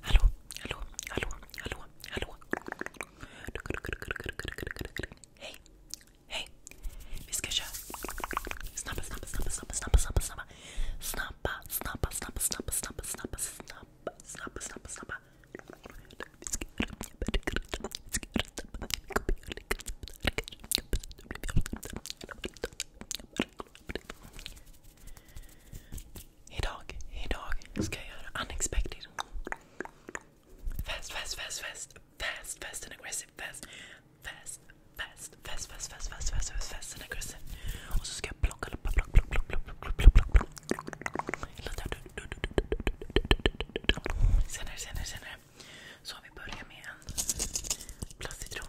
Hallå, hallå, hallå, hallå, hallå. Hej, hej. Vi ska köra. Snabba, snabba, snabba, snabba, snabba, snabba, snabba. Snabba, snabba, snabba, snabba, snabba, snabba, snabba, snabba, snabba, snabba. Idag, idag ska jag göra unexpected. Fast, fast, fast, fast. Fast, fast and aggressive. Fast, fast, fast, fast, fast, fast, fast, fast, fast, fast and aggressive. Och så ska jag plocka, plocka, plocka, plocka, Senare, senare, senare. Så vi börjar med en plastcitron.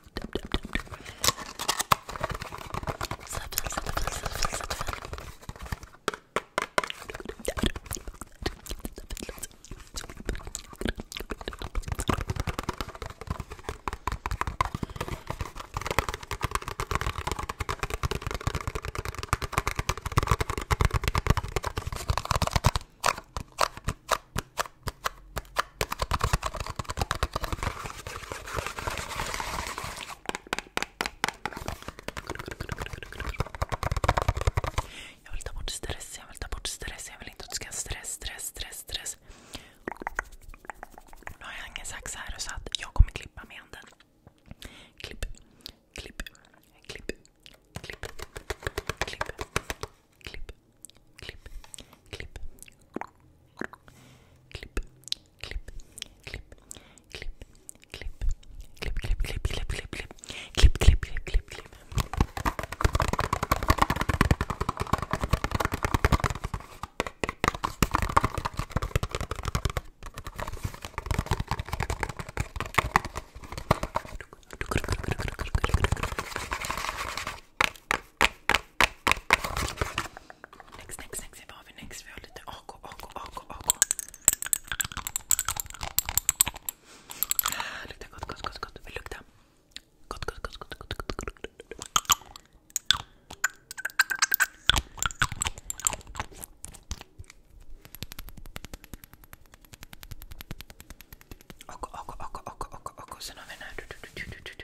Sätt färdigt. Jag vill ta bort stress, jag vill ta bort stress, jag vill inte att du ska ha stress, stress, stress, stress. Nu har jag ingen sax här så att jag kommer klippa med handen. Klipp, klipp, klipp, klipp, klipp, klipp, Klipp, klipp, klipp. Klipp, klipp, klipp. Klipp, klipp, klipp, klipp, klipp, klipp, klipp. Klipp, klipp, klipp, klipp, klipp. Next, next, next. Vad har vi next? Vi har lite AK, AK, AK, AK. gott, gott, ah, gott, Vill lukta? Gott, gott, gott, gott, AK, AK, AK, AK, AK. Sen har vi den här.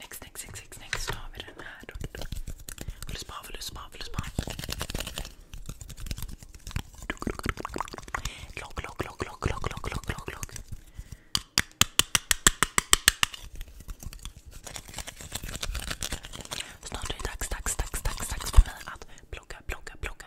Next, next, next, next, next. Då har vi den här. Vill du spa? Vill du spa? Vill du spa? Lock, lock, lock, lock, lock, lock, lock, lock, Snart är det dags, dags, dags, dags, dags för mig att plocka, plocka, plocka.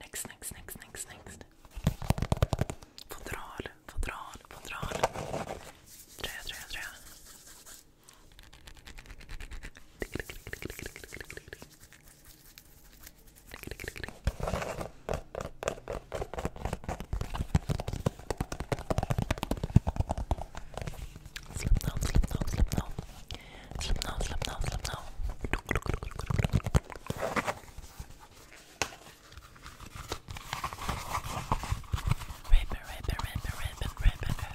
Next, next, next, next, next. Fodral, fodral, fodral. Tröja, tröja, tröja. Slip now, slip now, slip now. Slip now, slip now, slip now. Ribbon, ribbon, ribbon, ribbon, ribbon, ribbon.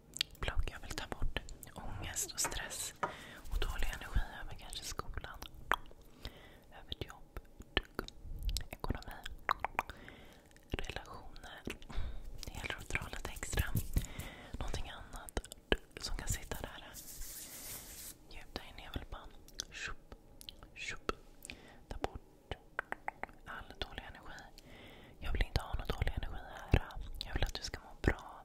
jag vill ta bort ångest och stress och dålig energi över skolan, över jobb, ekonomi, relationer. Det gäller att dra lite extra. Någonting annat som kan sitta där. Djupt i nävelbandet. Ta bort all dålig energi. Jag vill inte ha någon dålig energi här. Jag vill att du ska må bra.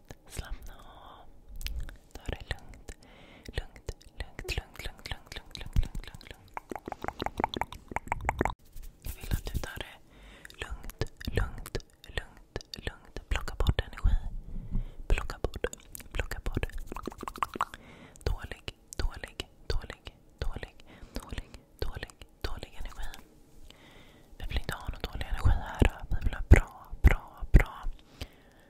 Slappna av. Ta det lugnt. Lugnt, lugnt, lugnt, lugnt, lugnt, lugnt, lugnt, lugnt, lugnt, lugnt. Jag vill att du tar det lugnt, lugnt, lugnt, lugnt. Plocka bort energi. Plocka bort, plocka bort. Dålig, dålig, dålig, dålig, dålig, dålig, dålig energi. Vi vill inte ha någon dålig energi här. Vi vill ha bra, bra, bra.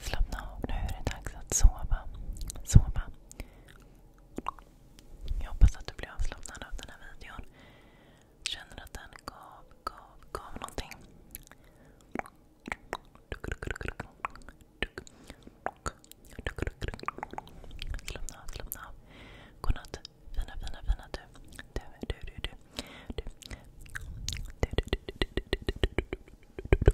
Slappna av nu, är det dags att sova. Sova. Jag hoppas att du blir avslappnad av den här videon. Känner att den gav, gav, gav någonting. Slappna av, slappna av. Godnatt. Fina, fina, fina du. Du, du, du, du. Du, du, du, du, du, du, du, du, du, du, du, du, du, du.